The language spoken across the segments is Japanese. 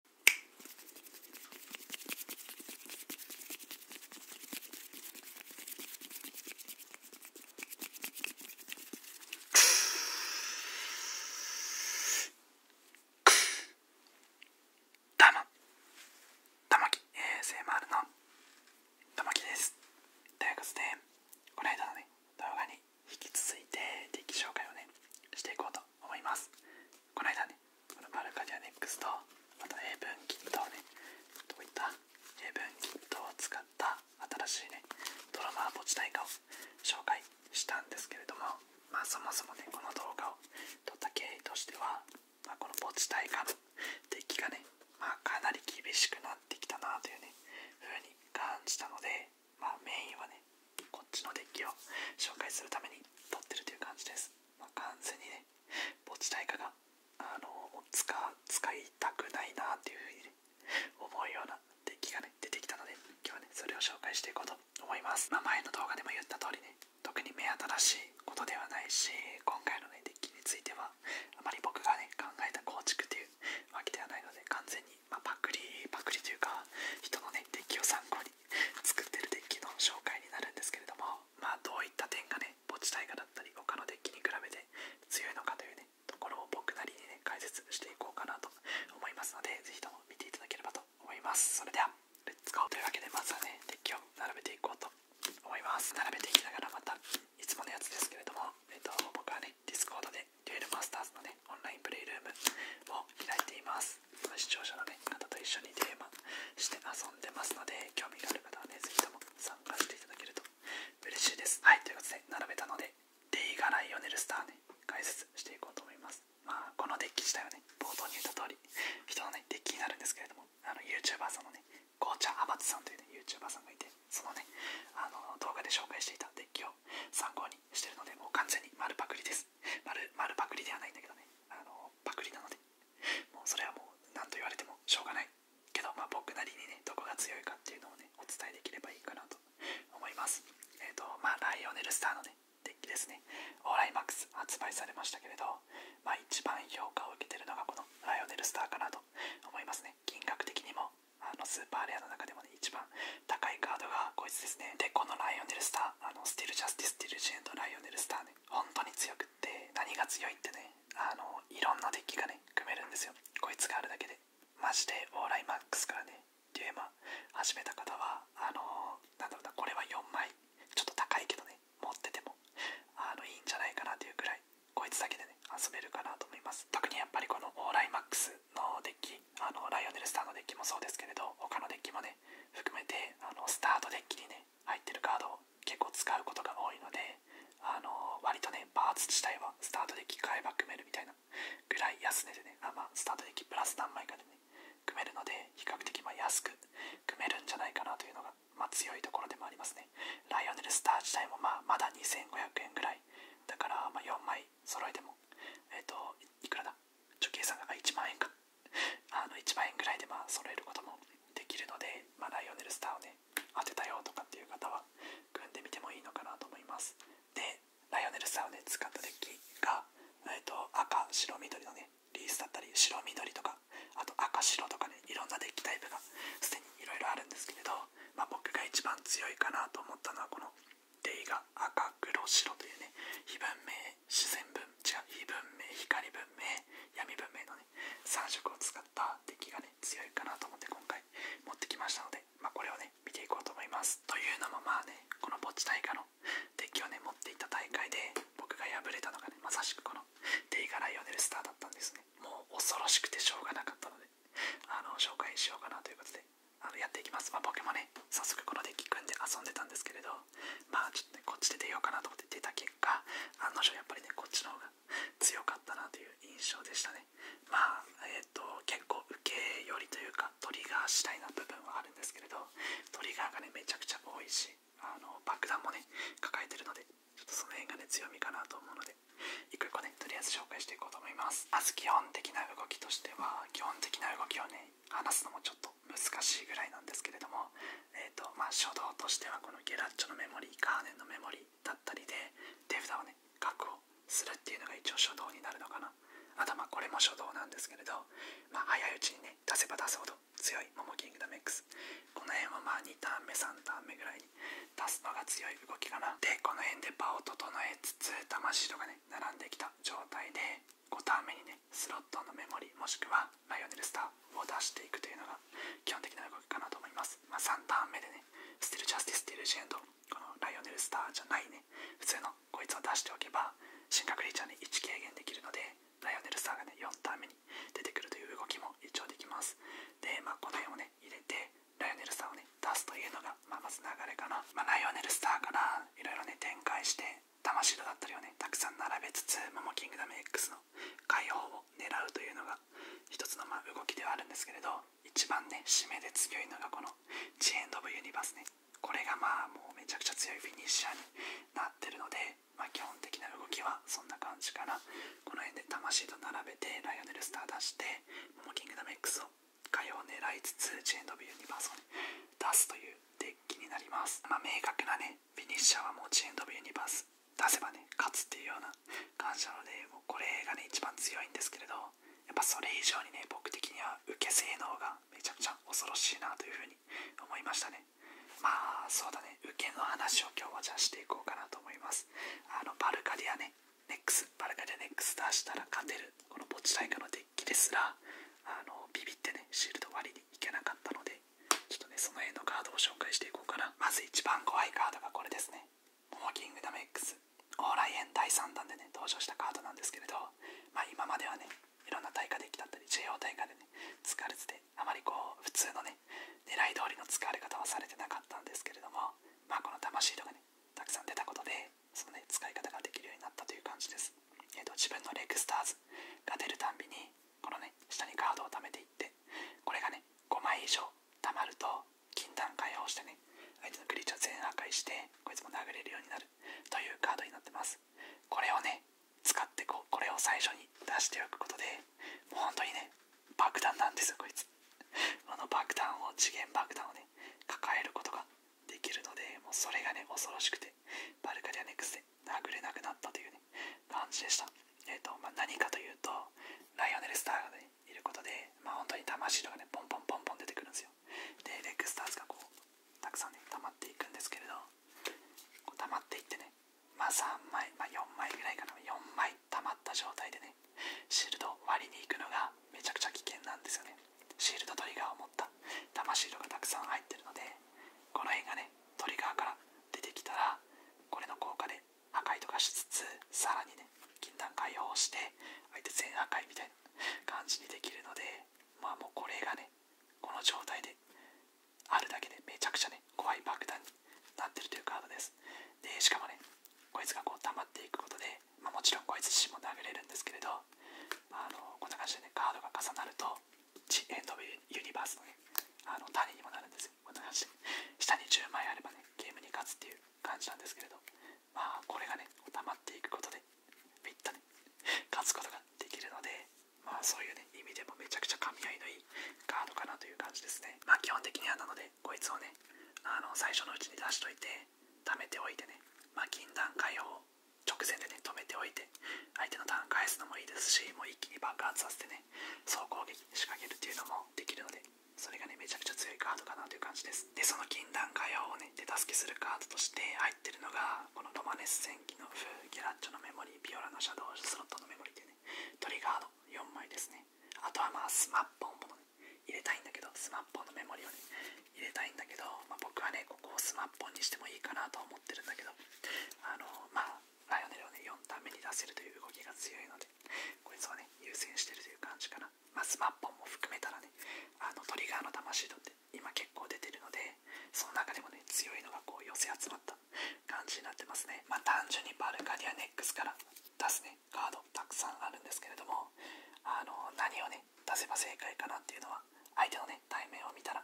a マ m ルのともきですということでこの間のね動画に引き続いて定期紹介をねしていこうと思いますこの間ねこのバルカディアネックスとまた英文キットをねどういった英文キットを使った新しいねドラマーポチタ大化を紹介したんですけれどもまあそもそもねこの動画を撮った経緯としては、まあ、このポチタ大化の出 来がね、まあ、かなり厳しくなってきたなというね風に感じたのでまあメインはねこっちのデッキを紹介するために撮ってるという感じです。まあ、完全にね、墓地代価が、あの使いたくないなっていうふうに、思うようなデッキがね、出てきたので、今日はね、それを紹介していこうと思います。ま前の動画でも言った通りね、特に目新しいことではないし、今回のね、デッキについては、あまり僕がね、考えた構築というわけではないので、完全に、まパクリ、パクリというか、人のね、デッキを参考に 作ってるデッキの紹介になるんですけれども、まあ、どういった点がね、ポ墓地大河だったり、他のデッキに比べて強いのかというね、ところを僕なりにね、解説していこうかなと思いますので、ぜひとも見ていただければと思います。それでは、レッツゴーというわけで、まずはね、デッキを並べていこうと思います。並べていきながら、また、いつものやつですけれども、えっと、僕はね、ディスコードで、デュエルマスターズのね、オンラインプレイルームを開いています。視聴者の、ね、方と一緒にテーマして遊んでますので、興味がある方はね、是非とも参加していただけると嬉しいです。はい、ということで、並べたので、デイガ・ライオネル・スターね、解説していこうと思います。まあ、このデッキ自体はね、冒頭に言った通り、人のね、デッキになるんですけれども、あの YouTuber さんのね、紅茶チャ・アバツさんというね、YouTuber さんがいて、そのね、あの動画で紹介していたデッキを参考にしてるので、もう完全に丸パクリです。丸丸パクリではないんだけどねあのパクリなのでもうそれはもう何と言われてもしょうがないけど、ま僕なりにねどこが強いかっていうのをねお伝えできればいいかなと思いますえっ、とまあライオネルスターのねデッキですねオーライマックス発売されましたけれどまあ一番評価を受けてるのがこのライオネルスターかなと思いますね金額的にもあのスーパーレアの中でもね一番高いカードがこいつですねでこのライオネルスターあのスティル・ジャスティス・ティル・ジエンド・ライオネル・スターね本当に強くって何が強いってねあのいろんなデッキがね組めるんですよこいつがあるだけでマジでオーライマックスからねデュエマ始めた方はあのなんだろうなこれは4枚ちょっと高いけどね持っててもあのいいんじゃないかなというくらいこいつだけでね遊べるかなと思います特にやっぱりこのオーライマックスのあのライオネルスターのデッキもそうですけれど他のデッキもね含めてあのスタートデッキにね入ってるカードを結構使うことが多いのであの割とねパーツ自体はスタートデッキ買えば組めるみたいなぐらい安値でねあ、まあ、スタートデッキプラス何枚かでね組めるので比較的ま安く組めるんじゃないかなというのが、まあ、強いところでもありますねライオネルスター自体もまあまだ2500円ぐらいだからま4枚揃えてもえっ、ー、といくらだ貯金さが1万円かあの1万円ぐらいでまあ揃えることもできるので、まライオネルスターをね当てたよとかっていう方は組んでみてもいいのかなと思いますでライオネルスターをね使ったデッキが、えー、と赤白緑のねリースだったり白緑とかあと赤白とかねいろんなデッキタイプがすでにいろいろあるんですけれど、ま僕が一番強いかなと思ったのはこのデイが赤黒白というね非文明自然文違う非文明光文明闇文明のね3色を使った敵がね強いかなと思って今回持ってきましたので、まあ、これをね見ていこうと思いますというのもまあねこのぼっち大会のデッキをね持っていた大会で僕が敗れたのがねまさしくこのデイがライオネルスターだったんですねもう恐ろしくてしょうがなかったのであの紹介しようかなということであのやっていきます。まあ、僕もね、早速このデッキ組んで遊んでたんですけれど、まあちょっとね、こっちで出ようかなと思って出た結果、案の定やっぱりね、こっちの方が強かったなという印象でしたね。まあ、えっ、と、結構受け寄りというか、トリガー次第な部分はあるんですけれど、トリガーがね、めちゃくちゃ多いし、あの爆弾もね、抱えてるので、ちょっとその辺がね、強みかなと思うので、一個一個ね、とりあえず紹介していこうと思います。まず基本的な動きとしては、基本的な動きをね、話すのもちょっと難しいぐらいなんですけれども、えっとまあ、初動としてはこのゲラッチョのメモリーカーネンのメモリだったりで手札をね確保するっていうのが一応初動になるのかなあとまあこれも初動なんですけれど、まあ、早いうちにね出せば出すほど強いモモキングダム X この辺はまあ2ターン目3ターン目ぐらいに出すのが強い動きかなでこの辺で場を整えつつ魂とかね並んできた状態で5ターン目にねスロットのメモリもしくはライオネルスターを出していくというのが基本的な動きかなと思います、まあ、3ターン目でねスティルジャスティスティルジェンドこのライオネルスターじゃないね普通のこいつを出しておけば進化クリーチャーに1軽減できるのでライオネルスターがね4ターン目に出てくるという動きも一応できますでまあこの辺をね入れてライオネルスターをね出すというのがな、まあ、まず流れかな、まライオネル・スターからいろいろね展開して魂シだったりをねたくさん並べつつモモキングダム X の解放を狙うというのが一つのまあ動きではあるんですけれど一番ね締めで強いのがこの「ジエンド・オブ・ユニバースね」ねこれがまあもうめちゃくちゃ強いフィニッシャーになってるので、まあ、基本的な動きはそんな感じかなこの辺で魂と並べてライオネル・スター出してモモキングダム X をかよを狙いつつジェンドビルユニバースを、ね、出すというデッキになります、まあ、明確なねフィニッシャーはもうジェンドビルユニバース出せばね勝つっていうような感じなのでもうこれがね一番強いんですけれどやっぱそれ以上にね僕的には受け性能がめちゃくちゃ恐ろしいなというふうに思いましたねまあそうだね受けの話を今日はじゃあしていこうかなと思いますあのバルカディアねネックスバルカディアネックス出したら勝てるこの墓地対価のデですらあのビビってねシールド割りにいけなかったのでちょっとねその絵のカードを紹介していこうかなまず一番怖いカードがこれですねモーキングダム X オーライエン第3弾でね登場したカードなんですけれど、まあ、今まではねいろんな対価でッキだったり JO 対価でね使われててあまりこう普通のね狙い通りの使われ方はされてなかったんですけれどもまあこの魂とかねたくさん出たことでそのね、使い方ができるようになったという感じです。えー、と自分のレッグスターズが出るたんびに、このね、下にカードを貯めていって、これがね、5枚以上貯まると、禁断解放してね、相手のクリーチャー全破壊して、こいつも殴れるようになるというカードになってます。これをね、使ってこう、これを最初に出しておくことで、もう本当にね、爆弾なんですよ、こいつ。この爆弾を、次元爆弾をね、抱えることができるのでもうそれがね恐ろしくてバルカリアネックスで殴れなくなったというね感じでした、えっとまあ、何かというとライオネル・スターが、ね、いることで、まあ、本当に魂とかねポンポンポンポン出てくるんですよでレックスターズがこうたくさんね溜まっていくんですけれどこ溜まっていってねまあ3枚、まあ、4枚ぐらいかな4枚溜まった状態でねシールドを割りに行くのがめちゃくちゃ危険なんですよねシールドトリガーを持った魂色がたくさん入ってるのでこの辺がねトリガーから出てきたらこれの効果で破壊とかしつつさらにね禁断解放して相手全破壊みたいな感じにできるのでまあもうこれがねこの状態であるだけでめちゃくちゃね怖い爆弾になってるというカードですでしかもねこいつがこう溜まっていくことでまあ、もちろんこいつ自身も殴れるんですけれど、あ、のこのな感じでねカードが重なると地エンド・ユニバースのねあの種にもなるんですよこんな感じで下に10枚あればねゲームに勝つっていう感じなんですけれどまあこれがね溜まっていくことでピッとね勝つことができるのでまあそういうね意味でもめちゃくちゃ噛み合いのいいカードかなという感じですねまあ基本的にはなのでこいつをねあの最初のうちに出しといて貯めておいてねまあ禁断解放直前でね止めておいて相手のターン返すのもいいですしもう一気に爆発させてね総攻撃仕掛けるっていうのもできるのでそれがねめちゃくちゃ強いカードかなという感じですでその禁断ガヤをね手助けするカードとして入ってるのがこのロマネス戦機の風ギャラッチョのメモリービオラのシャドウスロットのメモリでねトリガード4枚ですねあとはまあスマッポンも、入れたいんだけどスマッポンのメモリをね入れたいんだけど、ま僕はねここをスマッポンにしてもいいかなと思ってるんだけどあのまあライオネルをね4ターン目に出せるという動きが強いのでこいつをね優先してるという感じかな、まあ、スマッンも含めたらねあのトリガーの魂度って今結構出てるのでその中でもね強いのがこう寄せ集まった感じになってますねまあ単純にバルカニアネックスから出すねカードたくさんあるんですけれどもあの何をね出せば正解かなっていうのは相手のね対面を見たら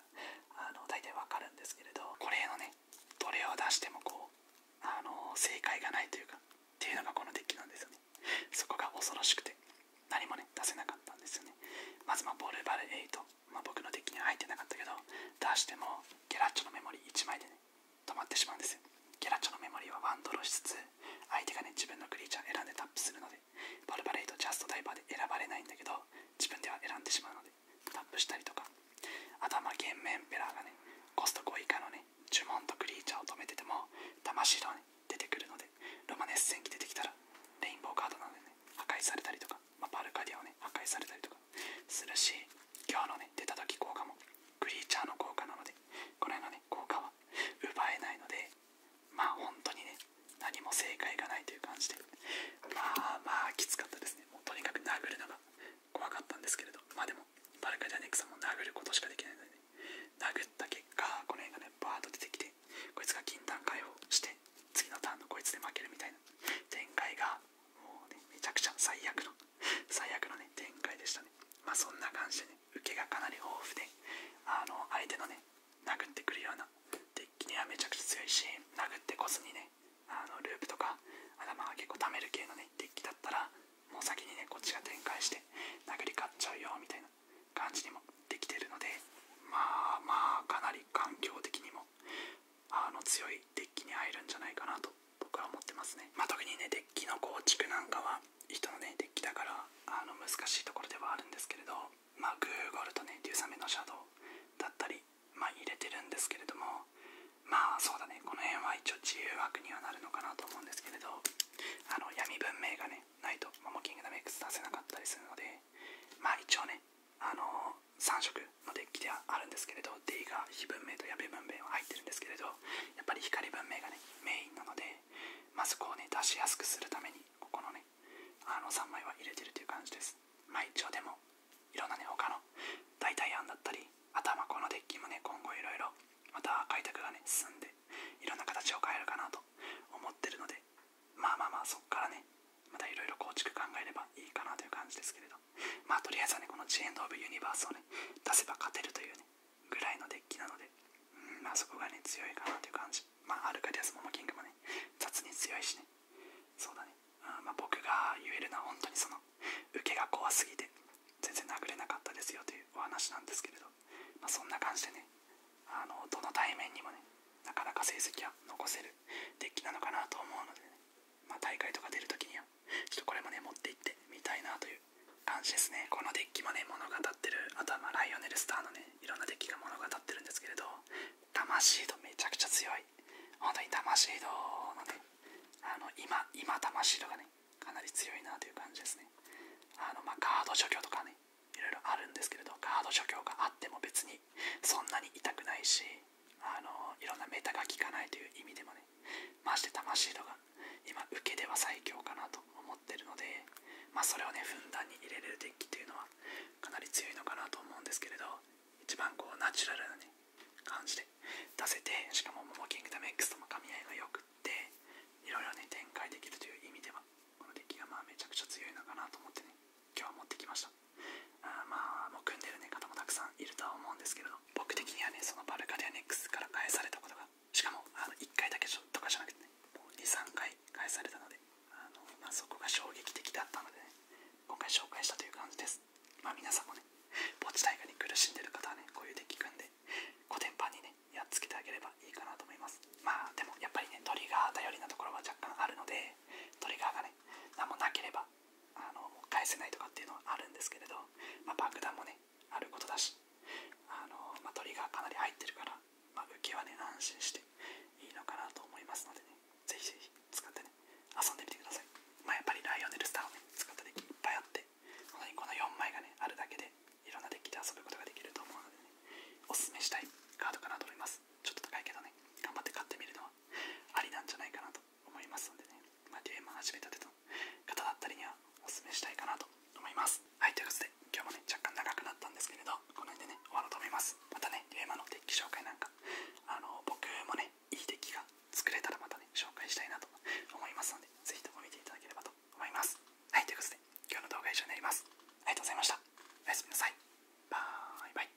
あの大体わかるんですけれどこれのねどれを出してもこうあの正解がないというかっていうのがこのデッキなんですよねそこが恐ろしくて何もね出せなかったんですよねまずまあボルバル8、まあ、僕のデッキには入ってなかったけど出してもギャラッチョのメモリー1枚でね止まってしまうんですギャラッチョのメモリーはワンドロしつつ相手がね自分のクリーチャー選んでタップするのでパルパレードジャストダイバーで選ばれないんだけど自分では選んでしまうのでタップしたりとかあとはまゲームンペラーがねコスト5以下のね呪文とクリーチャーを止めてても魂のね出てくるのでロマネス戦機出てきたらレインボーカードなのでね破壊されたりとか、まパルカディアをね破壊されたりとかするし今日のね出た時効果もクリーチャーの効果なのでこの辺のね効果は奪えないのでまあ本当にね何も正解がないという感じでまあまあきつかったですねもうとにかく殴るのが怖かったんですけれどまあでもバルカ・ジャネックさんも殴ることしかできないので、殴った結果この辺がねバーッと出てきてこいつが禁断解放して次のターンのこいつで負けるみたいな展開がもうねめちゃくちゃ最悪の最悪のね展開でしたねまあそんな感じでね受けがかなり豊富であの相手のね殴ってくるようなデッキにはめちゃくちゃ強いし殴ってこずにねあのループとか頭が結構溜める系のねデッキだったらもう先にねこっちが展開して殴り勝っちゃうよみたいな感じにもできてるのでまあまあかなり環境的にもあの強いデッキに入るんじゃないかなと僕は思ってますね、ま特にねデッキの構築なんかは人のねデッキだからあの難しいところではあるんですけれどまあグーゴルとねデューサメのシャドウだったりま入れてるんですけれどもまあそうだねこの辺は一応自由枠にはなるのかなと思うんですけれどあの闇文明がねないとモモキングダム X 出せなかったりするのでまあ一応ねあの3色のデッキではあるんですけれど D が非文明と矢部文明は入ってるんですけれどやっぱり光文明がねメインなのでまずそこをね出しやすくするためにここのねあの3枚は入れてるという感じですま一応でもいろんなね他の代替案だったり頭このデッキもね今後いろいろまた開拓がね進んでいろんな形を変えるかなと思ってるのでまあまあまあそっからねまたいろいろ構築考えればいいかなという感じですけれどまあとりあえずはねこのジエンド・オブ・ユニバースをね出せば勝てるというねぐらいのデッキなので、うん、まあそこがね、強いかなという感じ。まアルカディアス・モモキングもね、雑に強いしね。そうだね。うん、まあ僕が言えるのは本当にその、受けが怖すぎて、全然殴れなかったですよというお話なんですけれど、まそんな感じでね、あの、どの対面にもね、なかなか成績は残せるデッキなのかなと思うので、ね、ま大会とか出るときには、ちょっとこれもね、持っていってみたいなという感じですねこのデッキもね物語ってるあとはまライオネルスターのねいろんなデッキが物語ってるんですけれど魂とめちゃくちゃ強い本当に魂のねあの今今魂シードがねかなり強いなという感じですねあのまあガード除去とかねいろいろあるんですけれどカード除去があっても別にそんなに痛くないしあのいろんなメタが効かないという意味でもねまして魂とか。今受けでは最強かなと思っるので、まあ、それをねふんだんに入れれるデッキっていうのはかなり強いのかなと思うんですけれど一番こうナチュラルな、感じで出せてしかもモモキングダム X とも噛み合いがよくっていろいろね展開できるという意味ではこのデッキがまあめちゃくちゃ強いのかなと思ってね今日は持ってきましたあまあもう組んでる、方もたくさんいるとは思うんですけれど僕的にはねそのバルカデックスから返されたことがしかもあの1回だけとかじゃなくてねも23回返されたのであの、まあ、そこが衝撃的だったので今回紹介したという感じですまあ皆さんもね墓地大会に苦しんでる方はねこういうデッキ組んでコテンにねやっつけてあげればいいかなと思いますまあでもやっぱりねトリガー頼りなところは若干あるのでトリガーがね何もなければあの返せないとかっていうのはあるんですけれど、まあ、爆弾もねあることだしあの、まあ、トかなり入ってるから、まあ、受はね安心していいのかなと思いますのでねぜひぜひ使ってね遊んでみてください、まやっぱりライオネルスターを、使ったデッキいっぱいあって本当にこの4枚がねあるだけでいろんなデッキで遊ぶことができると思うのでねおすすめしたいカードかなと思いますちょっと高いけどね頑張って買ってみるのはありなんじゃないかなと思いますのでね、まあ、ゲーム始めたての方だったりにはおすすめしたいかなと思いますはいということで今日もね若干長くなったんですけれどこの辺でね終わろうと思いますまたね龍馬のデッキ紹介なんかあの僕もねいいデッキが作れたらまたね紹介したいなと思いますのでぜひとも見ていただければと思いますはいということで今日の動画は以上になりますありがとうございましたおやすみなさいバイバイ